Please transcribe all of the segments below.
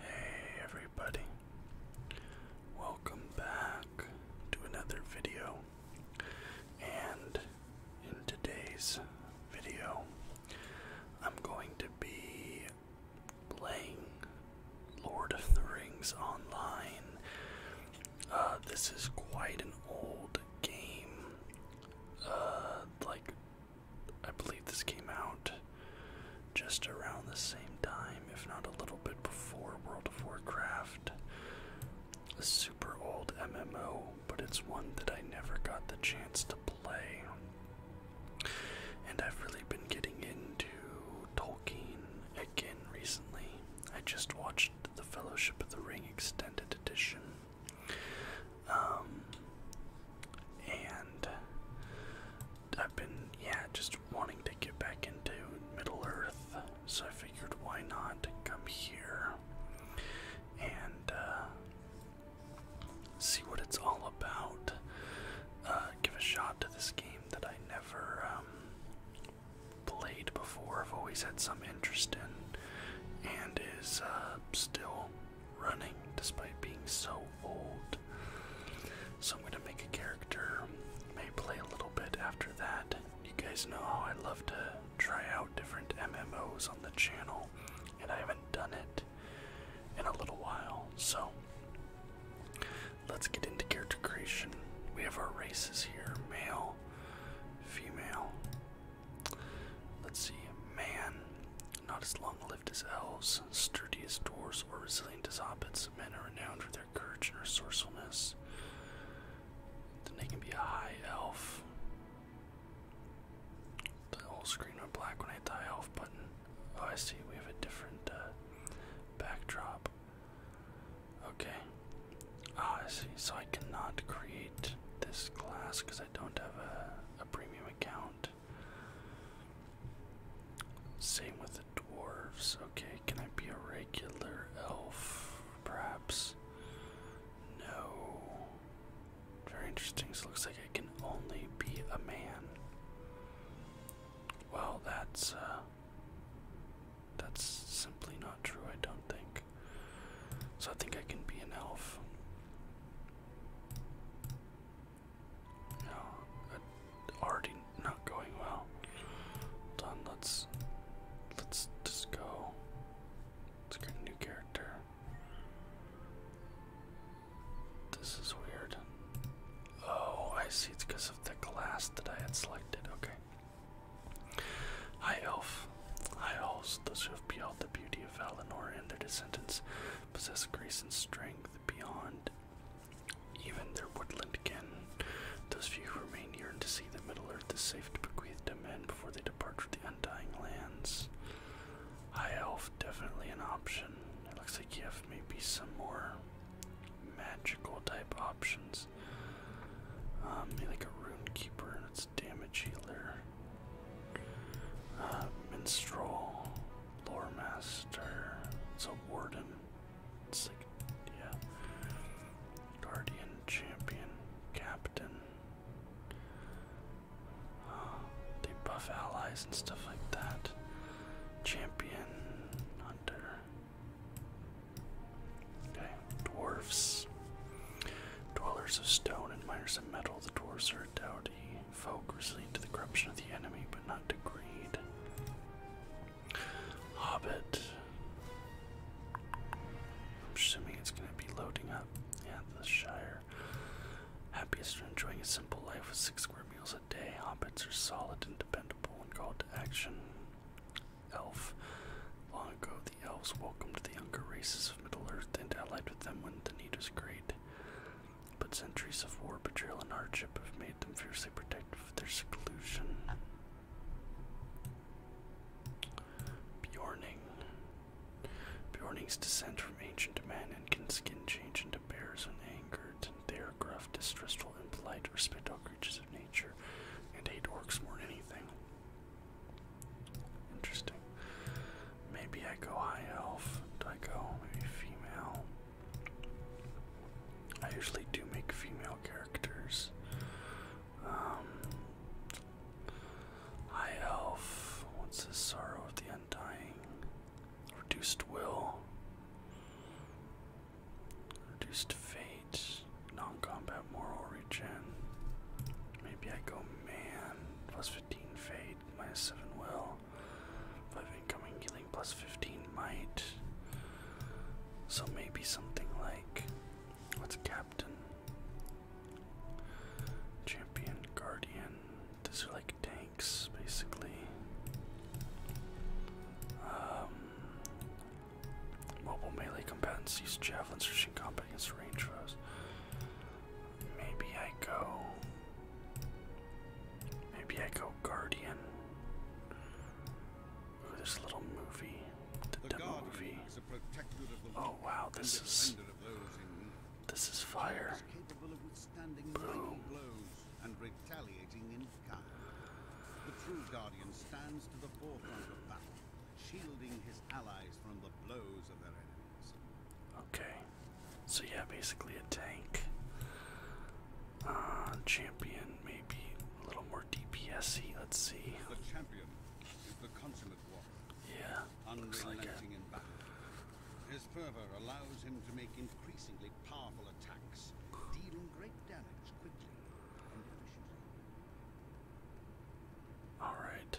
Hey everybody, welcome back to another video. And in today's video, I'm going to be playing Lord of the Rings Online. Uh, this is quite an old game, uh, like I believe this came out just around the same time, if not a little bit before World of Warcraft. A super old MMO, but it's one that I never got the chance to play. And I've really been getting into Tolkien again recently. I just watched The Fellowship of the Ring Extended Edition. Um, and I've been, yeah, just wanting to get back into Middle Earth, so I figured why not come here and uh, see what it's all about. Uh, give a shot to this game that I never um, played before, I've always had some interest in, and is uh, still running despite being so old. So I'm gonna make a character, may play a little bit after that. You guys know how I love to try out different MMOs on the channel, and I haven't done it in a little while. So let's get into character creation. We have our races here male, female. Let's see, man, not as long lived as elves, sturdy as dwarves or resilient as hobbits. Men are renowned for their courage and resourcefulness. Then they can be a high elf. The whole screen went black when I hit the elf button. Oh, I see. We have a different uh, backdrop. Okay. Ah, I see. So I cannot create this class because I don't have a premium account. Same with the dwarves. Okay, can I be a regular elf? Perhaps. No. Very interesting. looks like I can only be a man. Well, that's uh that's simply not true, I don't think. So I think I can be an elf. No, already not going well. Done. Let's let's just go. Let's create a new character. This is weird. Oh, I see. It's because of the class that I had selected. Okay. High elf. High elves, those who have beheld the beauty of Valinor and their descendants, possess grace and strength beyond even their woodland kin. Those few who remain yearn to see that Middle Earth is safe to bequeath to men before they depart for the Undying Lands. High Elf, definitely an option. It looks like you have maybe some more magical type options. Um, maybe like a Rune Keeper and its damage healer. Uh, minstrel, lore master, it's a warden. It's like, yeah. Guardian, champion, captain. Uh, they buff allies and stuff like that. Champion, hunter. Okay, dwarfs. Dwellers of stone and miners of metal. The dwarves are doughty folk resilient to the corruption of the enemy, but not to greed. Hobbit. I'm assuming it's going to be loading up. Yeah, the Shire. Hobbits are enjoying a simple life with six square meals a day. Hobbits are solid and dependable and called to action. Elf. Long ago, the elves welcomed the younger races of Middle Earth and allied with them when the need was great. But centuries of war, betrayal, and hardship have made them fiercely protective of their seclusion. Bjorning. Bjornings descend from ancient men and can skin change into bears when angered. They are gruff, distrustful, impolite, respect all creatures of nature, and hate orcs more than anything. Interesting. Maybe I go high elf. Do I go maybe female? I usually do make female characters. Um, high elf. What's this? Sorrow of the Undying. Reduced will. Reduced fate. Non combat moral regen. Maybe I go man. 15 fade, minus 7 will, 5 incoming healing, plus 15 might. So maybe something like what's a captain? Champion, guardian. These are like tanks basically. Um, mobile melee combatants use javelins, reaching combat against range foes. Maybe I go. Maybe I go Guardian. this little movie. The, demo movie. Oh wow, this is this is fire. Boom. And retaliating in kind. The true guardian stands to the forefront of battle, shielding his allies from the blows of their enemies. Okay. So yeah, basically a tank. Uh, champion, maybe a little more DPSy. Let's see. The champion Yeah, looks like it. in battle. His fervor allows him to make increasingly powerful attacks, dealing great damage quickly and efficiently. All right.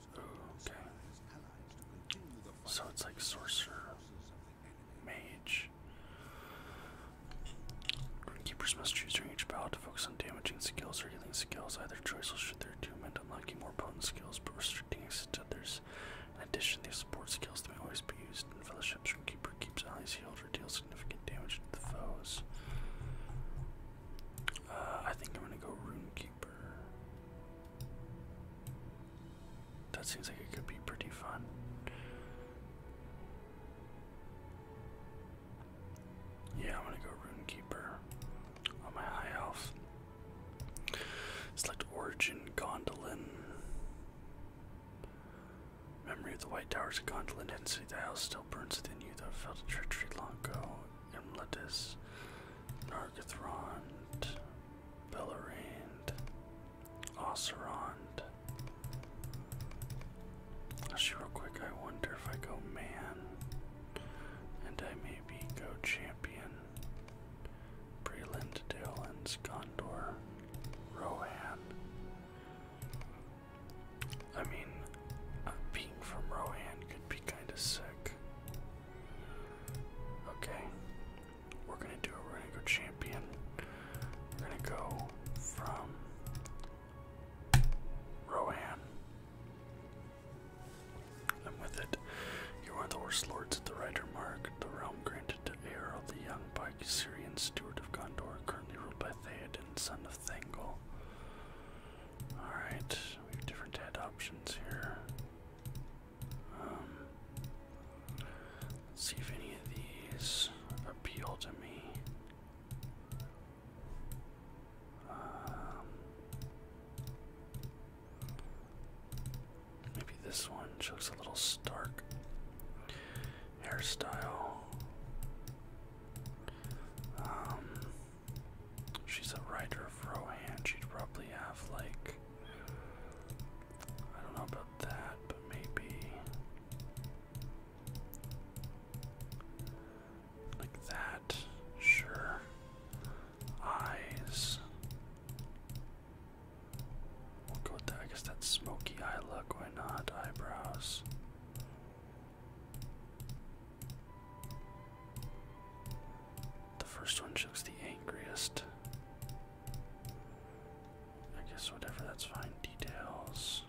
Okay. So it's like sorcerer, mage. Keepers must choose during each battle to focus on damaging skills or healing skills. Either choice will shoot their doom attunement, unlocking more potent skills, but restricting access to others. In addition, these support skills that may always be used in fellowships when Keeper keeps allies healed or deals significant damage to the foes. Uh, I think I'm gonna go Rune that seems like it could be pretty fun. Yeah, I'm gonna go Runekeeper on my high elf. Select Origin Gondolin. Memory of the White Towers of Gondolin, And density the house still burns within you that felt a treachery long ago. Imletus, Nargothrond, Bellarand, Ocerond. Actually, real quick, I wonder if I go man, and I maybe go champion. Breland, Dalens, Gondor, Rohan. I mean, uh, being from Rohan could be kind of sick. Okay. We're gonna do it. we go champion. We're gonna go from Rohan. And with it, you are the horse lords of the rider mark, the realm granted to Aeril, the young by Syrian steward of Gondor, currently ruled by Theoden, son of Thangol. Alright, we have different head options here. Um, see if any of these appeal to me. Um, maybe this one looks a little stark. Hairstyle. Um, She's a writer of Rohan. She'd probably have, like, I don't know about that, but maybe like that. Sure. Eyes. We'll go with that. I guess that's smoky eye look. Why not? Eyebrows. The first one looks the angriest. I guess whatever, that's fine. Details.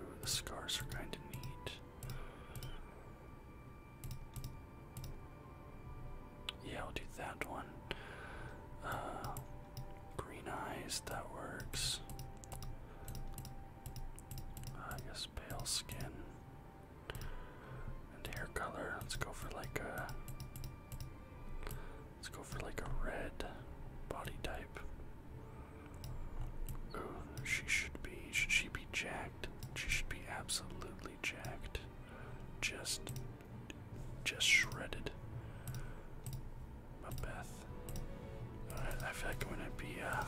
Ooh, the scars are kind of neat. Yeah, I'll do that one. Uh, green eyes, that works. Uh, I guess pale skin hair color, let's go for like a let's go for like a red body type. Ooh, she should be should she be jacked? She should be absolutely jacked. Just just shredded. But Beth. I feel like I'm gonna be uh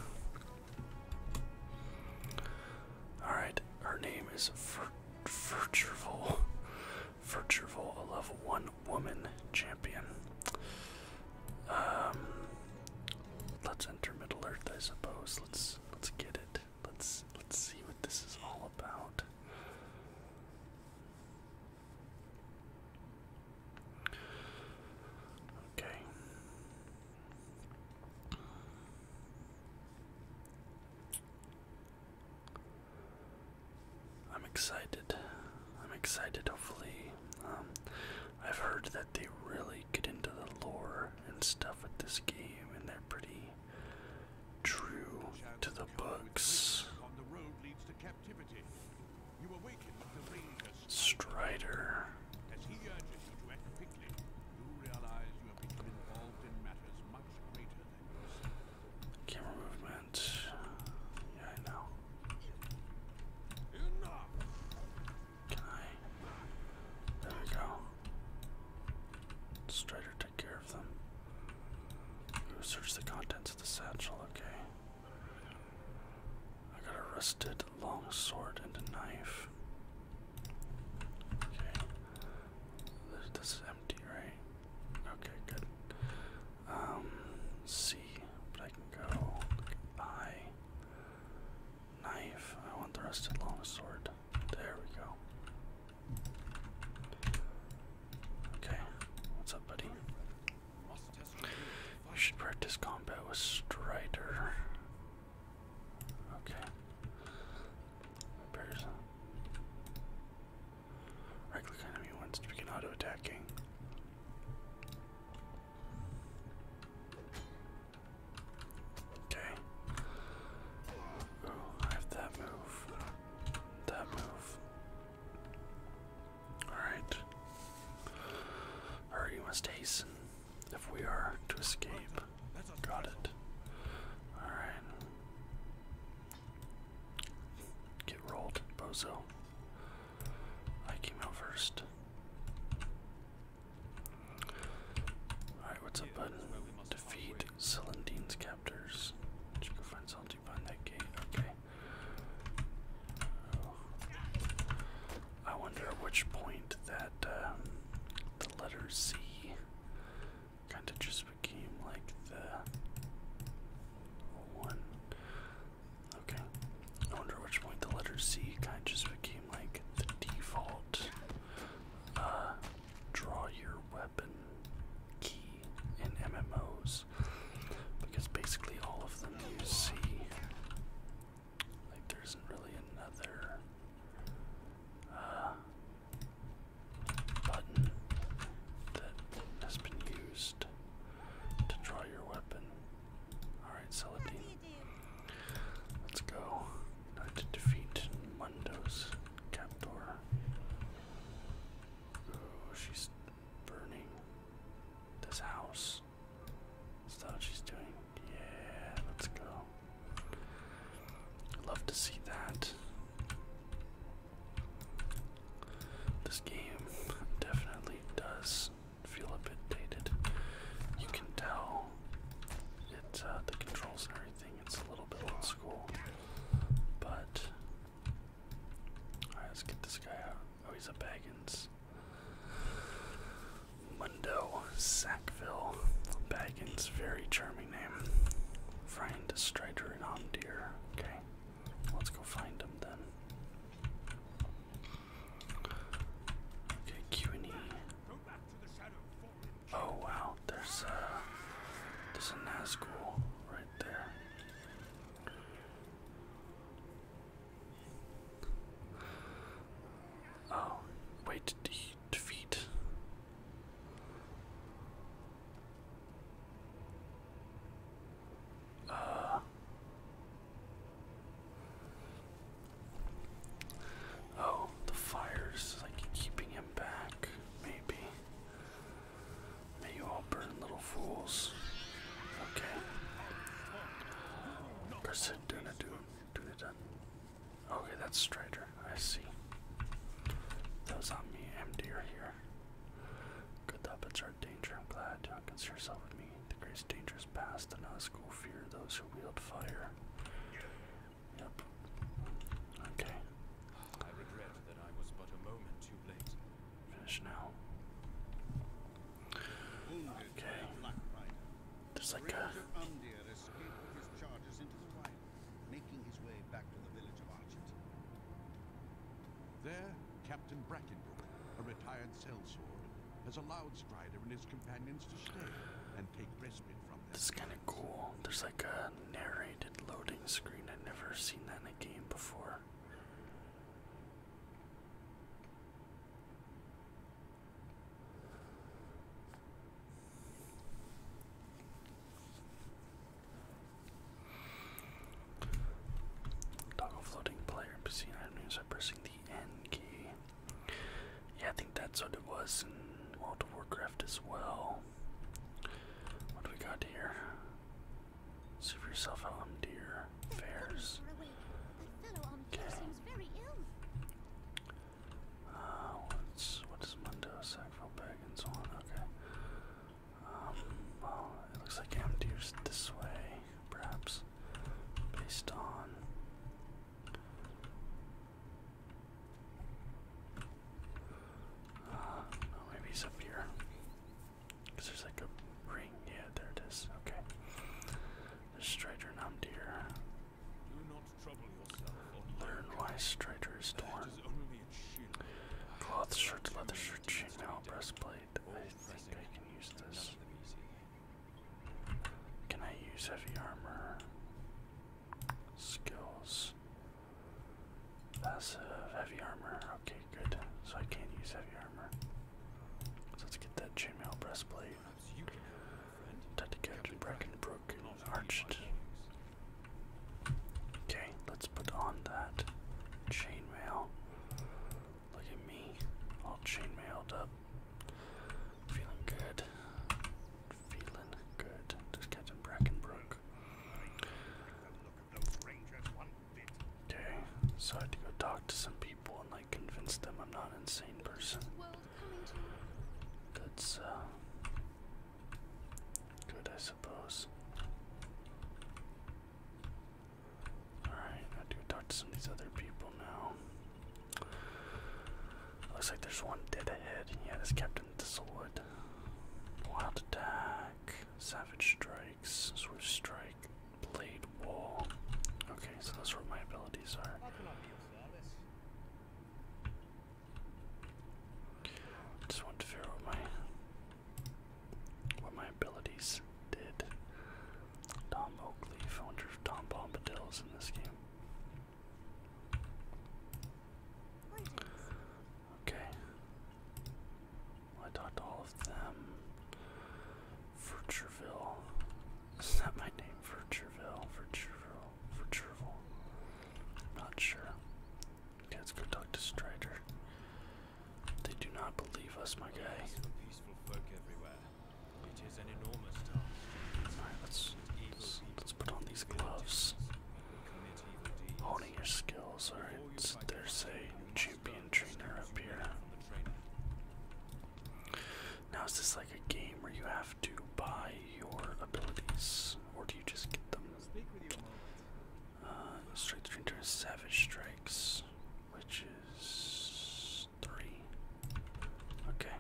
Alright, her name is Virtual. Virtual, a level 1 woman champion. Um, let's enter Middle Earth, I suppose. Let's let's get it. Let's let's see what this is all about. Okay. I'm excited. I'm excited, hopefully. Um, I've heard that they really get into the lore and stuff with this game, and they're pretty true to the books. Strider. You realize you have become involved in matters much greater than yourself. Camera movement. Yeah, I know. Enough. There we go. Strider took care of them. We search the contents of the satchel, okay. I got a rusted long and a knife. Okay. This, is empty, right? Okay, good. Um, C, but I can go I. Knife. I want the rusted longsword. There we go. Okay, what's up, buddy? You should practice combat with Strider. Okay. Repairs. Right click enemy once to begin auto attacking. Okay. Oh, I have that move. That move. Alright. Alright, must hasten if we are to escape. Got it. Alright. Get rolled, bozo. I came out first. Alright, what's up, button? Defeat Celandine's captors. Did go find Salty behind that gate? Okay. Oh. I wonder at which point that um, the letter C kind of just became like the one. Okay. I wonder at which point the letter C kind just became like the default uh, draw your weapon key in MMOs because basically all of them use like there isn't really another uh, button that has been used to draw your weapon. Alright, Celadine. Let's go. Now defeat Mundo's captor. Oh, she's burning this house house. Is that what she's doing? Yeah, let's go. Love to see that. This game definitely does feel a bit dated. You can tell it uh, the controls and everything. It's a little bit old school, but right, let's get this guy out. Oh, he's a Baggins. Mundo, Sackville, Baggins, very charming name. Find Strider and On Dear. Okay, let's go find them then. Okay, Q and E. Oh wow, there's a there's a nice Nazgul right there. Oh, wait, de defeat. Uh. Oh, the fire's like keeping him back, maybe. May you all burn little fools. Okay. Percent gonna Okay, that's Strider. I see. Those on me, MD are here. Good puppets our danger. I'm glad you consider yourself with me. The greatest danger is past, and not school fear those who wield fire. Yep. Okay. Finish now. Okay. There's like a. escaped with his charges into the wild, making his way back to the village of Archett. There, Captain Brackenbrook, a retired sellsword, has allowed Strider and his companions to stay and take respite from them. This kind of cool. There's like a narrated loading screen. I've never seen that in a game before. Toggle floating player PC items by pressing the N key. Yeah, I think that's what it was in World of Warcraft as well. What do we got here? See yourself how dear. Fairs. Okay. Uh, what's what Mundo Sackville and so on? Okay. Um, well, it looks like Amdu's this way, perhaps, based on. Uh, maybe he's up here. Because there's like a ring. Yeah, there it is. Okay. Strider Namdir. Do not trouble yourself. Learn why Strider is torn. Cloth shirt, leather shirt, chainmail, breastplate. I think I can use this. Can I use heavy armor? Skills. Passive heavy armor. Okay, good. So I can't use heavy armor. So let's get that chainmail breastplate. Time to catch Brackenbrook Arched. Okay, let's put on that chainmail. Look at me, all chainmailed up. Feeling good. Feeling good. Just Captain Brackenbrook. Okay, so to go talk to some people like convince them I'm not an insane person. That's uh good I suppose. Alright, I do talk to some of these other people now. Looks like there's one dead ahead. Yeah, this Captain Thistlewood. Wild attack. Savage strikes. Swift strike. Blade wall. Okay, so that's what my abilities are. Just want to figure what my what my abilities did. Tom Oakleaf. I wonder if Tom Bombadil is in this game. Okay. I talked to all of them. Furcherville. Is that my name? Virtueville, Virtueville, Virtueville. I'm not sure. Okay, let's go talk to Strider. They do not believe us, my guy. Alright, let's, let's, let's put on these gloves. Honing your skills, alright. There's say champion trainer up Now, is this like a game where you have to buy your abilities, or do you just get them? Uh, trainer, savage strikes, which is three. Okay.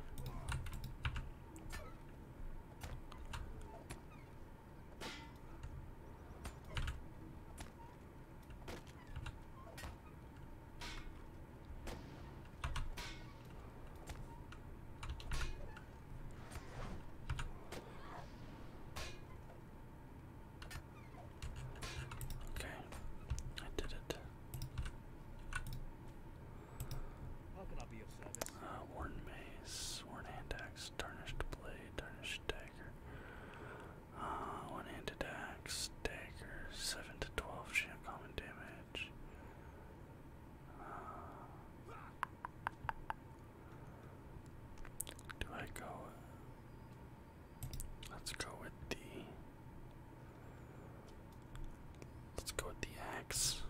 Okay, I did it. Uh, worn mace, worn axe, tarnished blade, tarnished dagger. Uh, one hand attack, stagger, 7 to 12 shield common damage. Uh, do I go? Let's go with the. Let's go with the axe.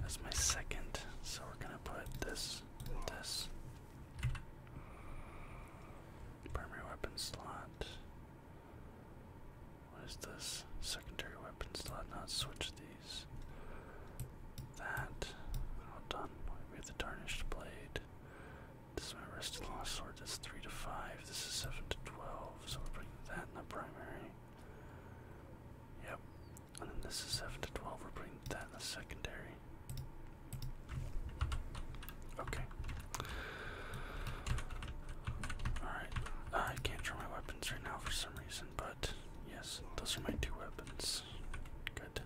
That's my second. So we're gonna put this, this. Primary weapon slot. What is this? Secondary weapon slot. Not switch these. That. All done. We have the tarnished blade. This is my wrist and lost sword. That's 3 to 5. This is 7 to 12. So we're putting that in the primary. Yep. And then this is 7 to 12. We're putting that in the secondary. Okay. Alright. I can't draw my weapons right now for some reason, but yes, those are my two weapons. Good.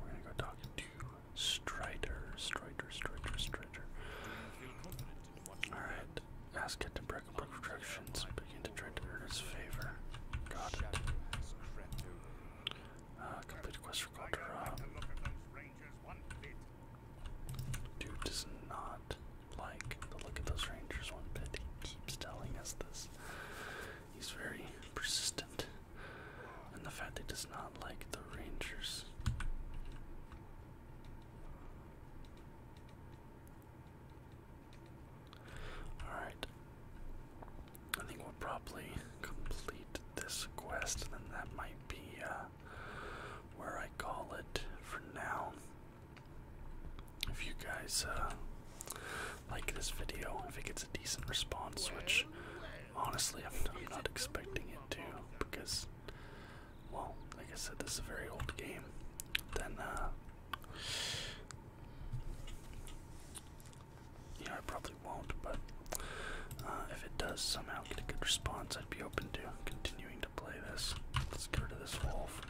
we're gonna go talk to Strider. Strider, Strider, Strider. Alright. Ask it to break up retractions. Begin to try to earn his favor. Uh, complete quest for Dude does not like the look of those rangers one bit. He keeps telling us this. He's very persistent. And the fact that he does not like the rangers. Alright. I think we'll probably complete this quest, and then that might be uh, where I call it for now. If you guys uh, like this video, if it gets a decent response, which honestly I'm, not expecting it to, because, well, like I said, this is a very old game, then uh, yeah, I probably won't, but uh, if it does somehow get a good response, I'd be open to continuing to play this. Let's get rid of this wolf.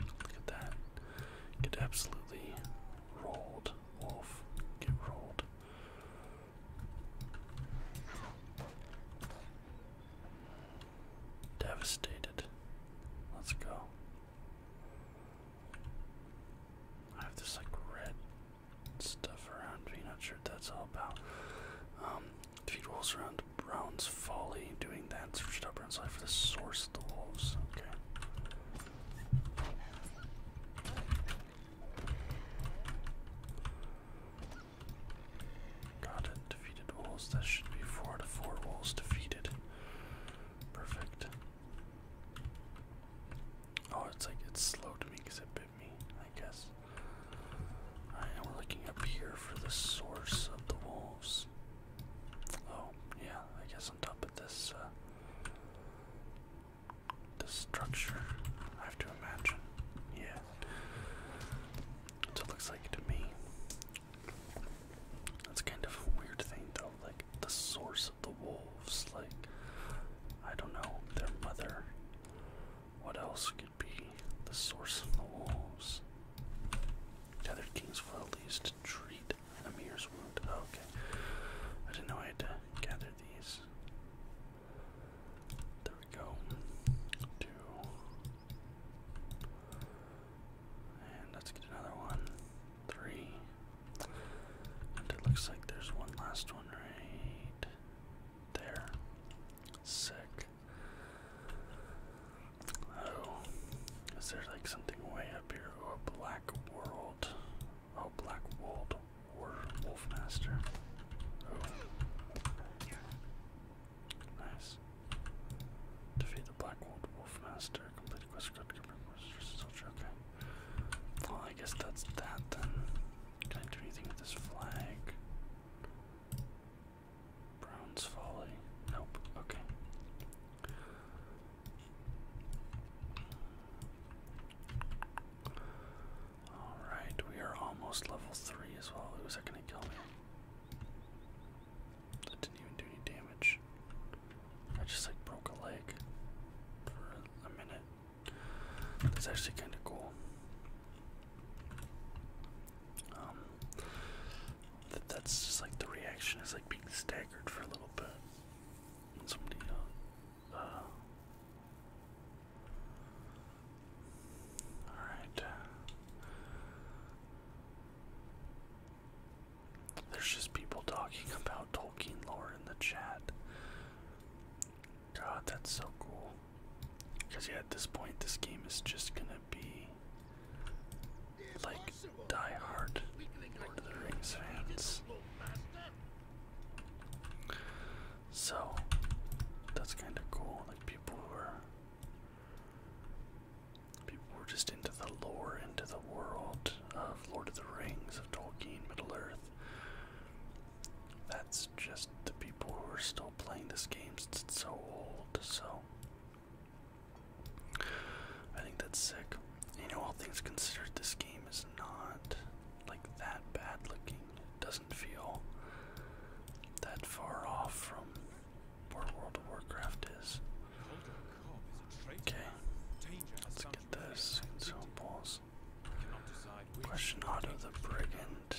Look at that. Get absolutely rolled. Wolf, get rolled. Devastated. Let's go. I have this like red stuff around me, not sure what that's all about. Um, defeat wolves around Brown's Folly, doing that, searched up Brown's Life for the source of the wolves. Okay. Got it, defeated wolves. That should be four out four wolves defeated. Perfect. Oh, it's like it's slow to me because it bit me, I guess. I'm looking up here for the source of the wolves. Oh, yeah, I guess on top of this, uh, this structure, I have to imagine. Yeah. That's what it looks like to me. That's kind of a weird thing, though. Like, the source the wolves, like I don't know, their mother. What else could be the source of the wolves? Tethered kings for at least treat Amir's wound. Oh, okay. I didn't know I had to gather these. There we go. Two. And let's get another one. Three. And it looks like there's one last one right there. Sick. Oh, is there like something way up here? Oh, a black world. A oh, black world wolf master. Oh, nice. Defeat the black world wolf master. Okay. Well, I guess that's that then. Can I do anything with this flag? Brown's Folly. Nope. Okay. Alright, we are almost level 3 as well. Who's that gonna kill me? That didn't even do any damage. I just like broke a leg for a minute. That's actually kind of cool. Um, that's just like the reaction is like being staggered for a little bit. Uh, uh, all right. There's just people talking about Tolkien lore in the chat. God, that's so cool. Because, yeah, at this point, this game is just gonna be like die-hard Lord of the Rings fans. So, that's kind of cool. Like, people who People were just into the lore, into the world of Lord of the Rings, of Tolkien, Middle Earth. That's just the people who are still playing this game it's so old, so. I think that's sick. You know, all things considered, this game is not like that bad looking. It doesn't feel that far off from where World of Warcraft is. Okay, let's get this. So balls. Question Otto the Brigand.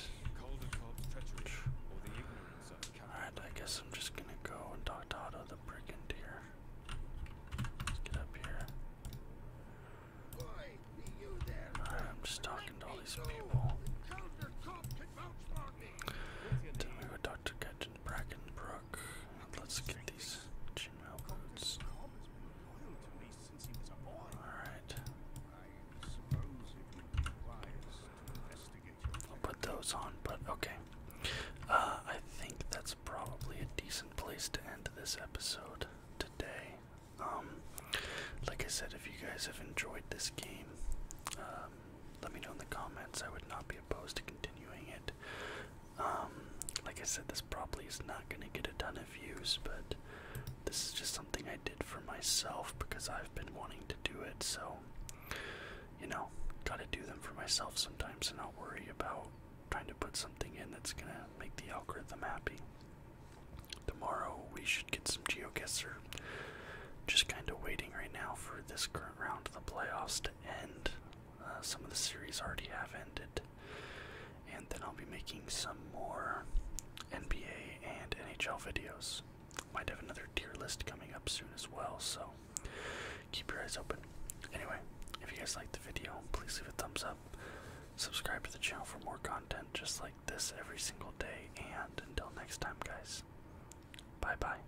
Alright, I guess I'm just gonna go and talk to Otto the Brigand here. get up here. I'm just talking to all these people. Then we go talk to Brackenbrook. Let's get these Gmail boots. Alright. I'll put those on, but okay. Uh, I think that's probably a decent place to end this episode today. Um, like I said, if you guys have enjoyed this game, uh, um, let me know in the comments. I would not be opposed to continuing it. Um, like I said, this probably is not going to get a ton of views, but this is just something I did for myself because I've been wanting to do it. So, you know, gotta do them for myself sometimes and not worry about trying to put something in that's going to make the algorithm happy. Tomorrow we should get some GeoGuessr. Just kind of waiting right now for this current round of the playoffs to end. Uh, some of the series already have ended. And then I'll be making some more NBA and NHL videos. Might have another tier list coming up soon as well, so keep your eyes open. Anyway, if you guys liked the video, please leave a thumbs up. Subscribe to the channel for more content just like this every single day. And until next time, guys, bye bye.